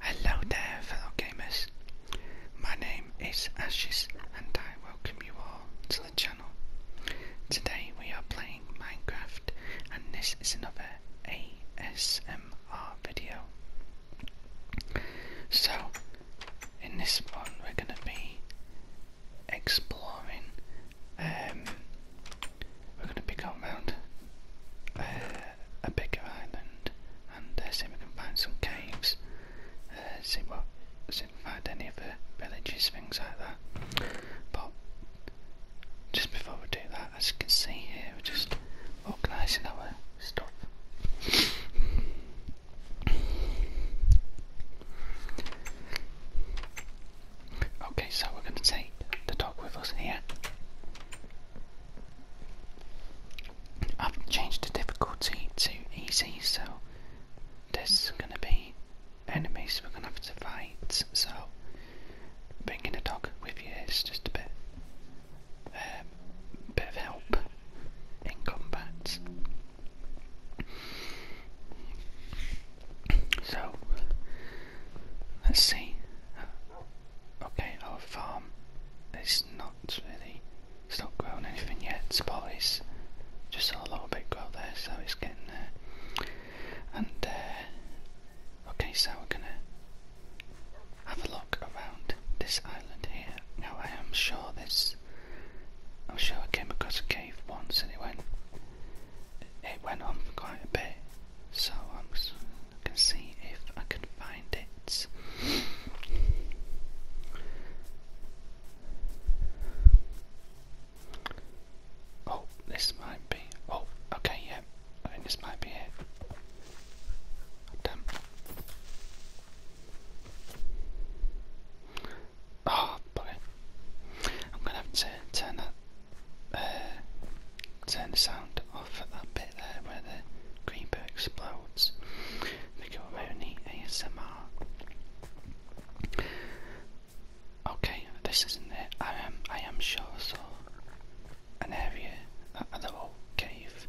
Hello there fellow gamers, my name is Ashes and I welcome you all to the channel. Today we are playing Minecraft and this is another ASMR video. So in this one we're going to be exploring um, we're going to be going round uh, a bigger island and uh, see if we can find some caves, uh, see what, see if we can find any other villages, things like that. But just before we do that, as you can see here, we're just organising our stuff. Okay, so we're going to take the dog with us here. I've changed the difficulty to easy, so there's gonna be enemies we're gonna have to fight, so bringing a dog with you is just a bit, um, bit of help in combat. So, let's see Okay, our farm its not really, it's not grown anything yet. Spot is just a little bit grow there, so it's getting there. And, uh, okay, so we're gonna have a look around this island here. Now, I am sure this, I'm sure I came across a cave once and it went, it went on for quite a bit. So I'm I can see if I can find it. Oh, this might be. Oh, okay, yeah. I think this might be it. Damn. Oh, ah, boy. I'm gonna have to turn that turn the sound off at that bit there where the creeper explodes. They go around ASMR. Okay, this isn't it. I am I am sure so an area that other cave.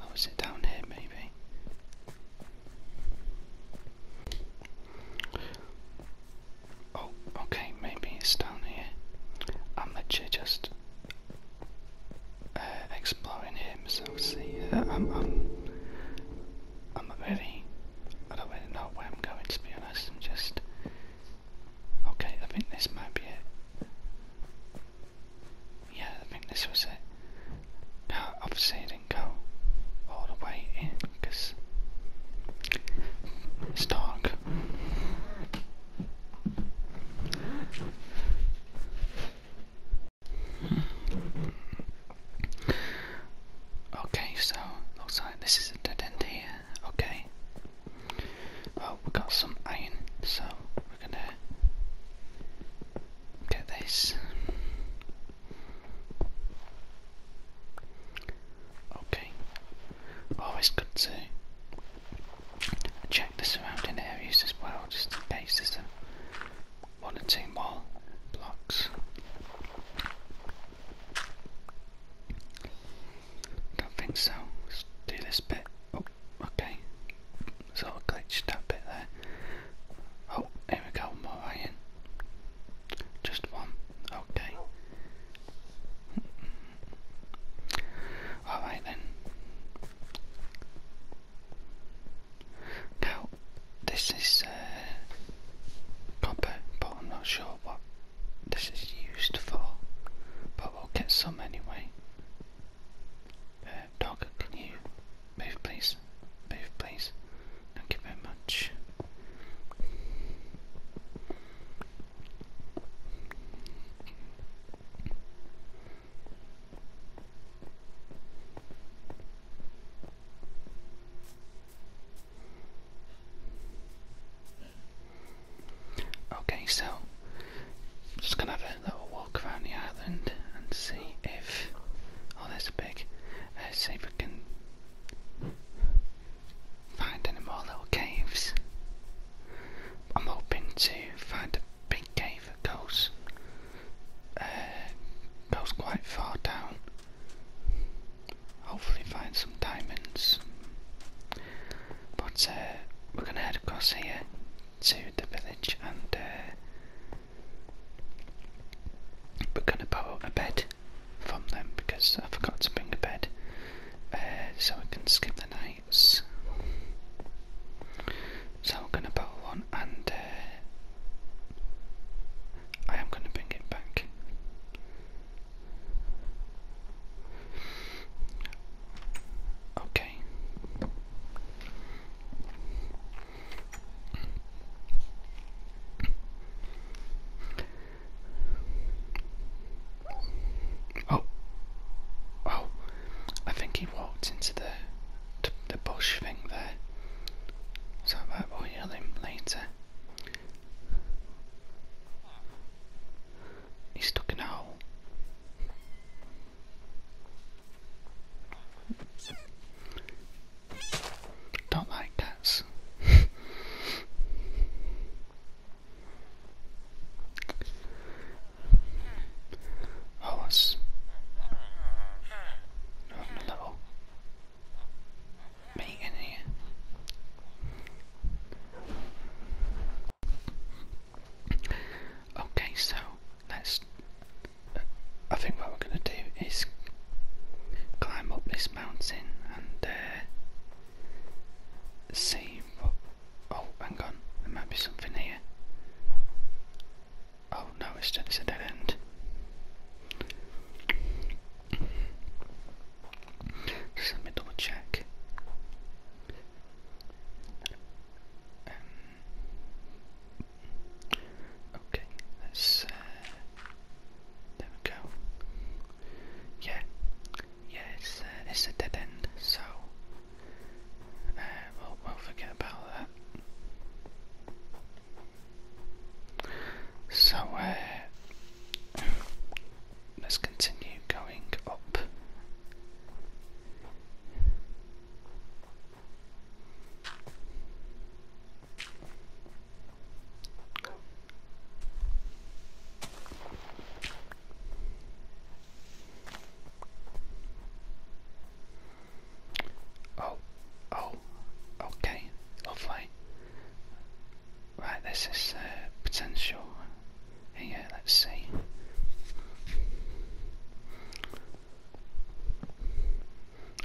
Oh is it down here maybe? Oh, okay, maybe it's down here. I'm literally just uh, exploring him, so see. Uh, I'm, I'm, I'm not really. I don't really know where I'm going to be honest. I'm just. Okay, I think this might be it. Yeah, I think this was it. No, obviously, it didn't go all the way in because it's dark. Okay, so looks like this is a dead end here. Okay. Oh, we got some iron, so we're gonna get this. Okay, Always good to check the surrounding areas as well, just in case there's a one or two more blocks. Don't think so. Let's do this bit. Oh, okay. Sort of glitched that bit there. Oh, here we go, more iron. Just one. Okay. Alright then. Now, this is uh, copper, but I'm not sure what this is used for, but we'll get some anyway. Uh, dog, can you move please? Move please. Thank you very much. Okay, so I'm just gonna have a little walk around the island and see if oh, there's a pig. Uh, see if we can find any more little caves. I'm hoping to find a big cave that goes, uh, goes quite far down. Hopefully find some diamonds. But uh, we're gonna head across here to the village and uh, we're gonna up a bed from them because I forgot to bring a bed, uh, so we can skip the nights. So we're gonna build one, and uh, I am gonna bring it back. Okay. Oh, oh, I think he walked into the the, bush thing there, so that uh, will heal him later. He's stuck in a hole. Don't like cats. Oh, it's level. Being here. Okay, so let's. Uh, I think what we're gonna do is climb up this mountain and uh, same. Oh, hang on, there might be something here. Oh no, it's, it's a dead end. let me double check. Um, okay, let's. Uh, there we go yeah, yeah, uh, it's a dead end, so uh, we'll, forget about that. So uh, let's continue going up. Oh, oh, okay, lovely. Right, this is uh, potential. Here, let's see.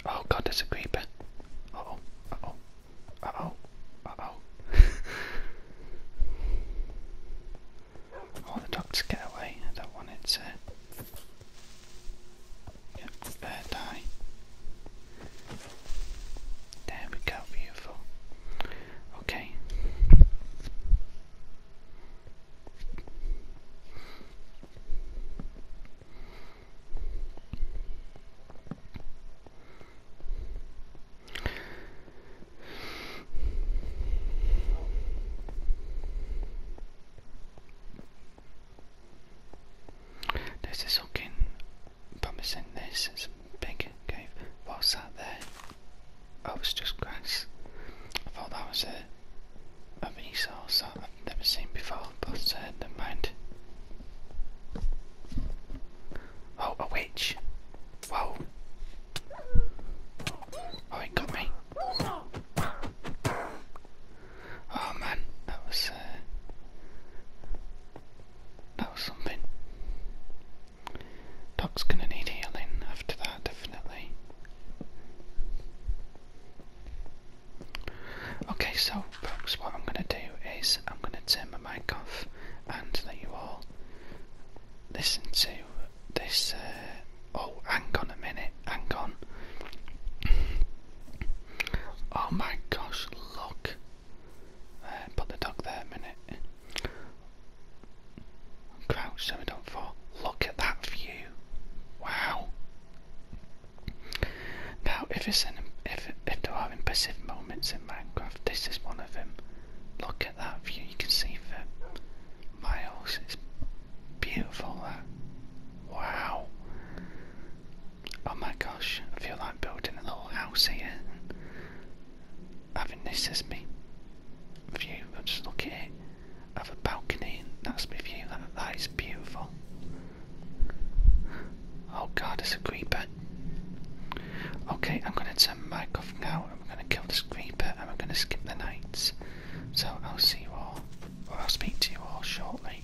Oh god, there's a creeper. oh, oh, uh-oh. Uh-oh. oh, the ducks get away. I don't want it to... die. There we go, beautiful. Okay. This is looking promising. This is a big cave. What's that there? I was just grass. I thought that was a, a resource that I've never seen before, but uh, never mind. Oh, a witch. Whoa. Oh, it got me. Oh man, that was uh, that was something. Dog's gonna need healing after that, definitely. Okay, so what I'm going to do is I'm going to turn my mic off and let you all listen to this. Uh, oh, hang on a minute, hang on. oh my gosh, look. Uh, put the dog there a minute. Crouch so we don't fall. Look at that view. Wow. Now, if, it's an, if, if there are impressive moments in Minecraft, this is one of them. Look at that view, you can see the miles, it's beautiful Wow. Oh my gosh, I feel like building a little house here. Having this as me view, just look at it. I have a balcony, that's my view, that, that is beautiful. Oh god, there's a creeper. Okay, I'm gonna turn my mic out. now and we're gonna kill this creeper and we're gonna skip the nights. So I'll see you all, or I'll speak to you all shortly.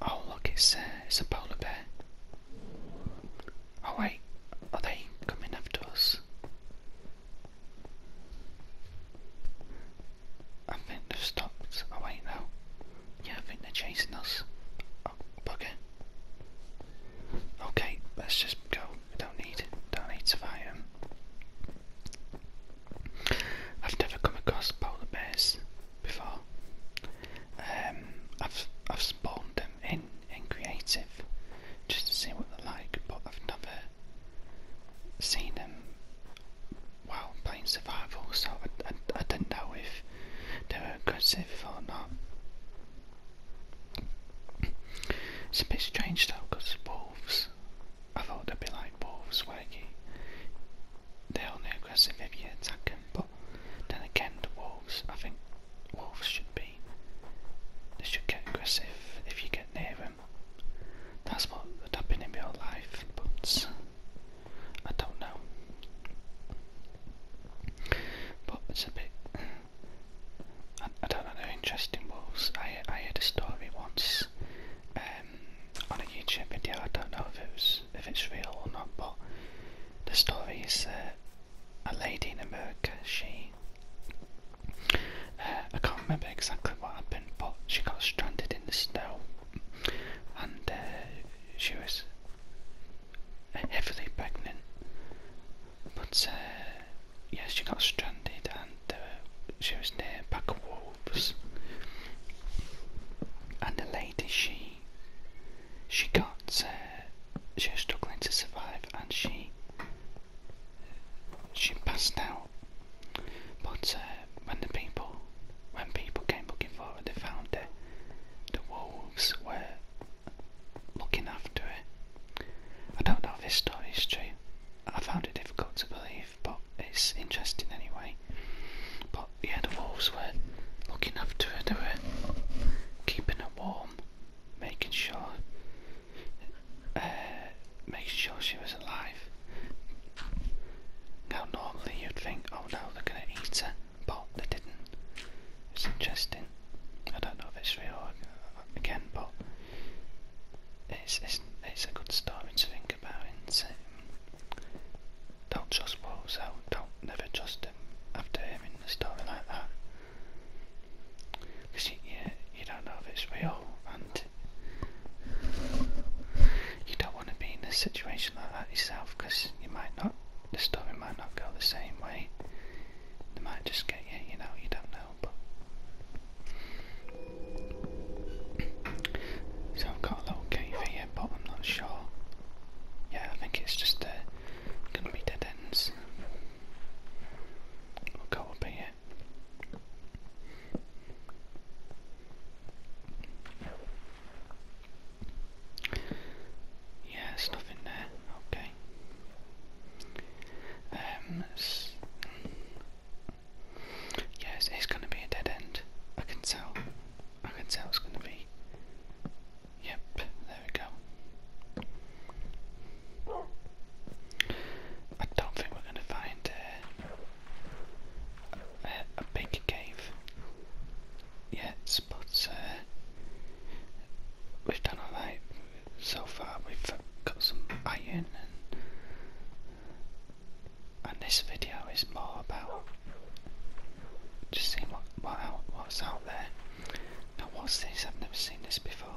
Oh look, it's uh, it's a polar bear. Oh wait, are oh, they coming after us? I think they've stopped. Oh wait, no. Yeah, I think they're chasing us. Oh, Okay, let's just go. don't need, don't need to fight I've never come across polar bears before. Um, I've I've spawned them in in creative just to see what they're like, but I've never seen them while playing survival, so I, I, didn't know if they were aggressive or not. It's a bit strange though, because wolves, I thought they'd be like wolves where you, they're only aggressive if you attack them, but then again the wolves, I think wolves should be, they should get aggressive if you get near them that's what had happened in real life, but I don't know. But it's a bit. I, I don't know interesting was. I, I heard a story once um, on a YouTube video. I don't know if it if it's real or not, but the story is a lady in America. She uh, I can't remember exactly what happened, but she got stranded in the snow, and uh, she was heavily pregnant. But uh, she got stranded, and uh, she was near a pack wolves. And the lady, she she got she was struggling to survive, and she she passed out. But uh, when the people, when people came looking for her, they found her. The wolves were looking after her. I don't know if this story is true. I found it difficult to believe, but it's interesting anyway. But yeah, the wolves were looking after her. They were keeping it warm, making sure uh, make sure she was alive. Now normally you'd think, oh no, they're gonna eat her, but they didn't. It's interesting. I don't know if it's real again, but it's it's, it's a good story to think about, Don't trust wolves though. Don't never trust them after hearing a story like that. Because you don't know if it's real, and you don't want to be in a situation like that yourself because you might not, the story might not go the same way. They might just get you, you know, you don't know. But so I've got a little cave here, but I'm not sure. Yeah, I think it's just uh, gonna be dead ends. We'll go up here. Yeah, there's nothing there. Okay. Um, it's, yeah, it's, it's going to be a dead end. I can tell. I can tell it's going to be. Yep, there we go. I don't think we're going to find uh, a, big cave. Yes, but uh, we've done alright so far. We've got some iron, and, this video is more about just seeing what, what what's out there. Now, what's this? I've never seen this before.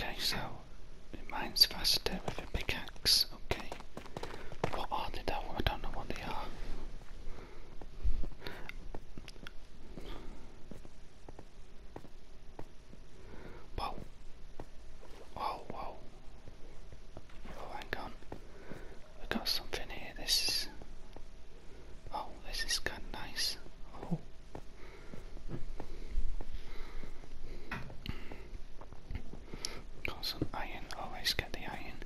Okay, so it mine's faster with a pickaxe. Okay, what are they though? I don't know what they are. Whoa. Whoa, whoa. Oh, hang on. we got something here. This is. Oh, this is kind of nice. Oh. Got some iron. Always get the iron.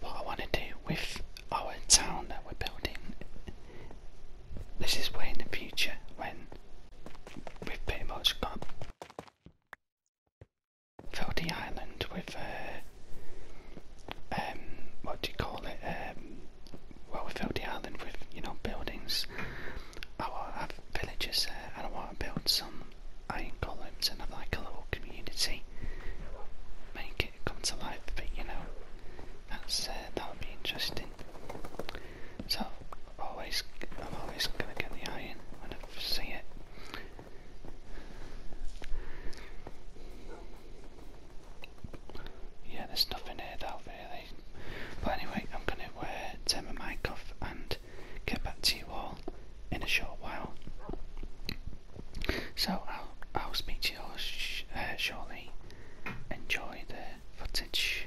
What I want to do with our town that we're building, this is way in the future when we've pretty much got filled the island with, uh, um, what do you call it? Um, well, we filled the island with, you know, buildings. I villages and I want to build some iron columns and have like a little community. Make it come to life, but you know, that's uh, that'll be interesting. So always, I'm always gonna get the iron when I see it. Yeah, there's nothing here though, really. But anyway, I'm gonna uh, turn my mic off and get back to you all in a short while. So I'll, I'll speak to you all uh, shortly. Enjoy the footage.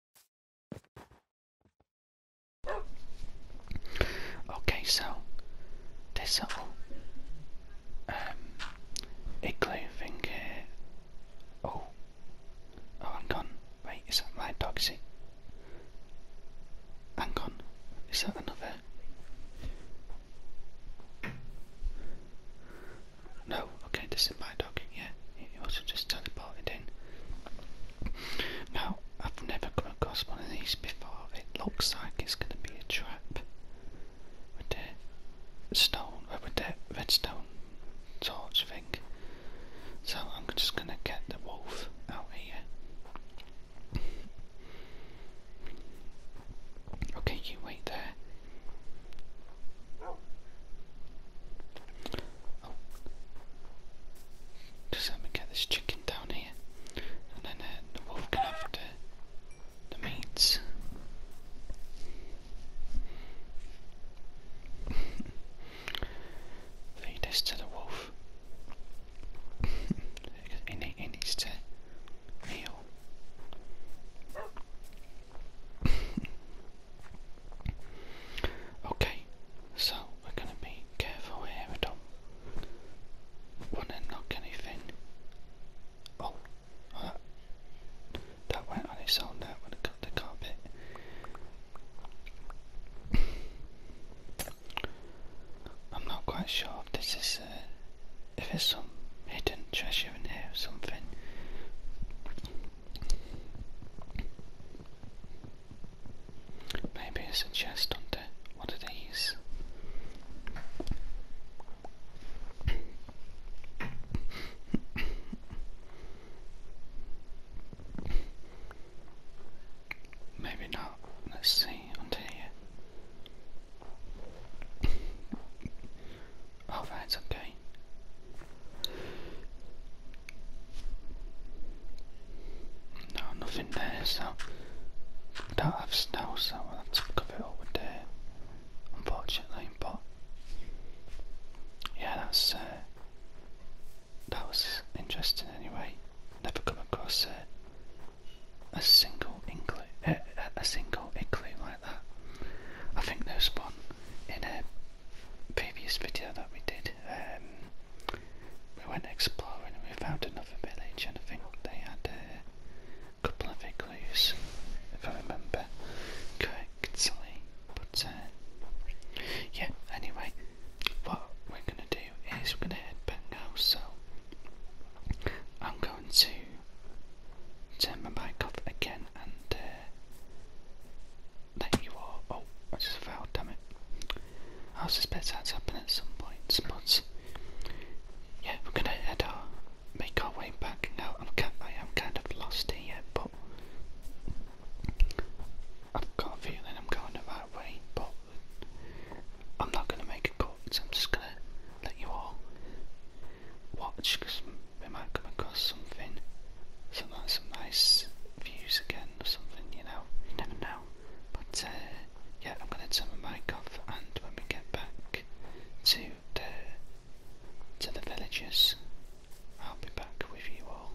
Okay, so this little um, igloo thing here. Oh, oh, hang on. Wait, is that my dog? Is it? Hang on. Is that another? No, okay, this is my dog. yeah. He also just teleported in. Now, I've never come across one of these before. It looks like it's going to be a trap. With the stone, uh, with the redstone torch thing. So I'm just going to get the wolf out here. okay, you wait there. Oh. let me get this chicken down here, and then uh, the wolf can have the, the meats. Feed this to the wolf. he, he needs to heal. Okay, so we're going to be careful here. We don't want to knock anything. Oh, uh, that, went on its own there when I cut the carpet. I'm not quite sure if this is, uh, if there's some hidden treasure in here or something. Maybe it's a chest under one of these. Maybe not. Let's see under here. Oh, that's okay. No, nothing there, so I don't have snow, so I'll have to cover it up with there, unfortunately. But yeah, that's uh, that was interesting anyway. Never come across a, single inkling, a, single inkling like that. I think there's one in a previous video that we did, um, we went exploring and we found another village and I think they had a couple of igloos, if I remember correctly. But uh, yeah, anyway, what we're going to do is we're going to head back now, so I'm going to turn my mic off again and uh, you are. Oh, I just fell, damn it. I suspect that's happened at some point, Spuds. Yeah, we're gonna head our, make our way back now. I'm, kind of lost here, but I've got a feeling I'm going the right way, but I'm not gonna make a call. so I'm just gonna let you all watch because we might come across something, some uh, some nice views again or something. You know, never know. But uh, yeah, I'm gonna turn my mic off, and when we get back to the to the villages, I'll be back with you all.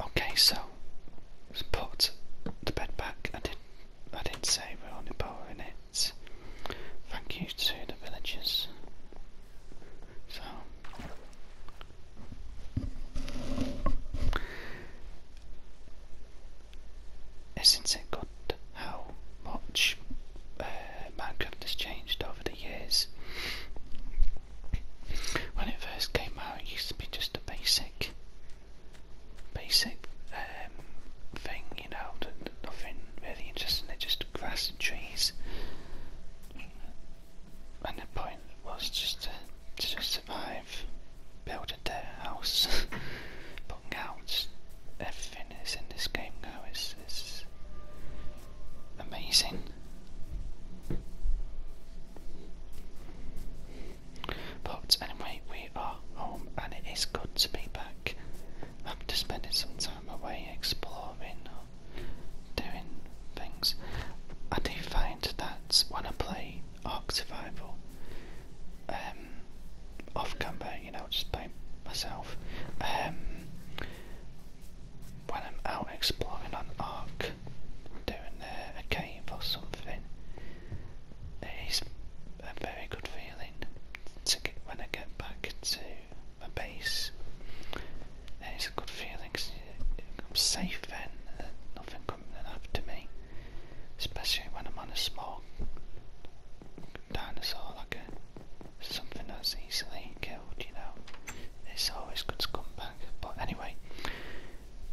Okay, so put the bed back. I did. I did say we're only borrowing it. Thank you to the villagers. So isn't it good how much uh, Minecraft has changed over the years? when it first came out it used to be just a basic basic um, thing, you know, nothing really interesting, they're just grass and trees. And the point was just to, to survive, build a dirt house, but now everything is in this game now It's is amazing. But anyway, we are home and it is good to be back after spending some time away exploring or doing things. I do find that when I play Ark Survival um, off camera, you know, just by myself, um, when I'm out exploring on Ark, doing uh, a, a cave or something. It is a very good feeling to get when I get back to my base. It's a good feeling because I'm safe then, and nothing coming after me, especially when I'm on a small dinosaur, like a, something that's easily killed, you know. It's always good to come back, but anyway,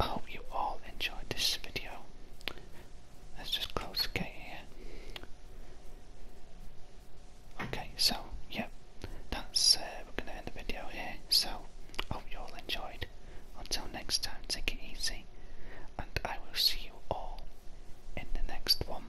I hope you all enjoyed this video. Let's just close the gate here. Okay, so yeah, that's uh, we're gonna end the video here. So hope you all enjoyed. Until next time, take it easy, and I will see you all in the next one.